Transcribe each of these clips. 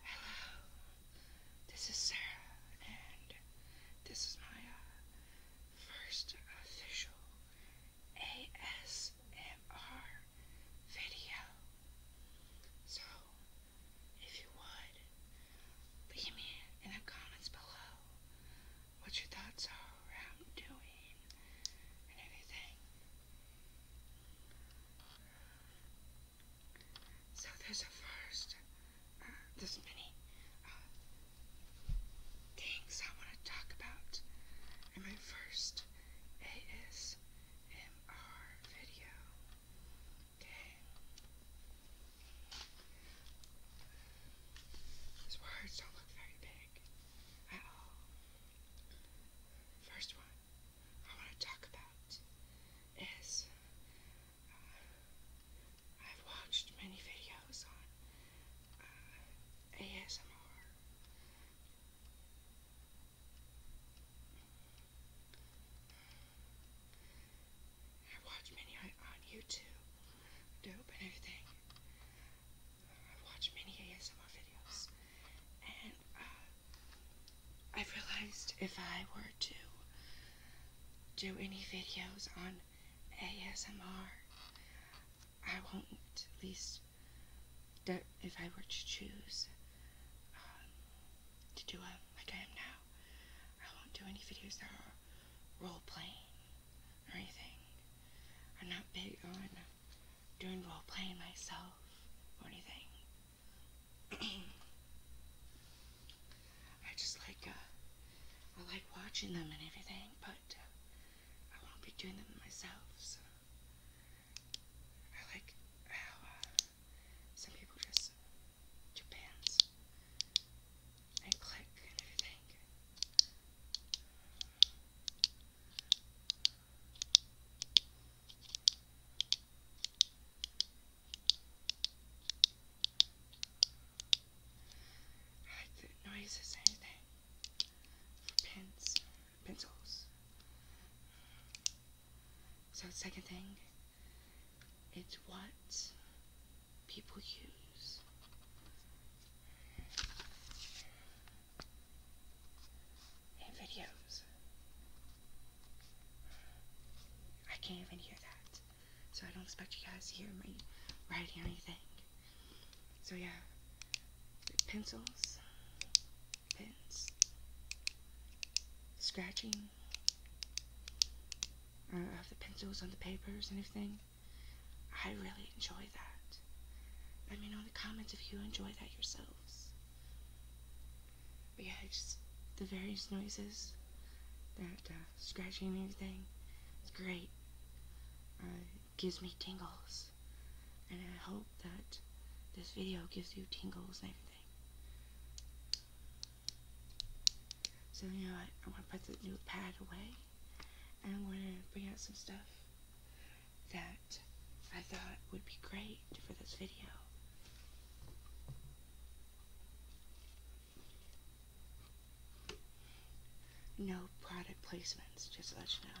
Hello, this is Sarah, and this is my uh, first official ASMR video. So, if you would, leave me in the comments below what your thoughts are around doing and everything. So there's a first, uh, there's many uh, things I want to talk about in my first ASMR video. Okay. These words don't look very big at all. First one. I want to talk about is uh, I've watched many videos on uh, ASMR. I've watched many on, YouTube, dope and everything. I've watched many ASMR videos, and uh, I've realized if I were to do any videos on ASMR, I won't, at least if I were to choose um, to do a like I am now, I won't do any videos that are role playing or anything. I'm not big on doing role playing myself or anything. I just like, uh, I like watching them and everything, but uh, I won't be doing them myself, so. I like how uh, some people just do and click and everything like the noises and pens, pencils. So second thing, it's what people use and videos. I can't even hear that. So I don't expect you guys to hear me writing anything. So yeah, pencils, pens, scratching uh, of the pencils on the papers anything. I really enjoy that. Let me know in the comments if you enjoy that yourselves. But yeah, just the various noises, that uh, scratching and everything, it's great. Uh, it gives me tingles. And I hope that this video gives you tingles and everything. So you know what, I'm going to put the new pad away. And I'm going to bring out some stuff that I thought would be great for this video. No product placements, just to let you know.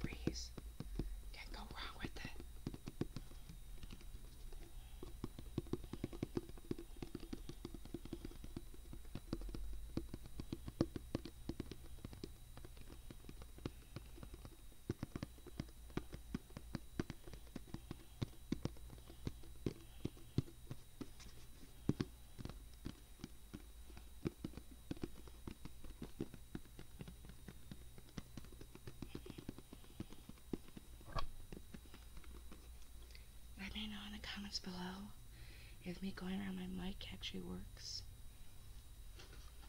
Febreze. Can't go wrong with it. Let me know in the comments below if me going around my mic actually works.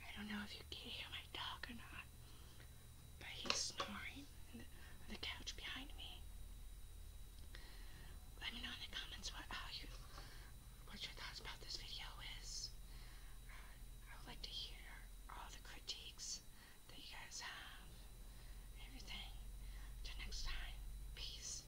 I don't know if you can hear my dog or not, but he's snoring on the, couch behind me. Let me know in the comments what how you what your thoughts about this video is. Uh, I would like to hear all the critiques that you guys have. Everything. Till next time. Peace.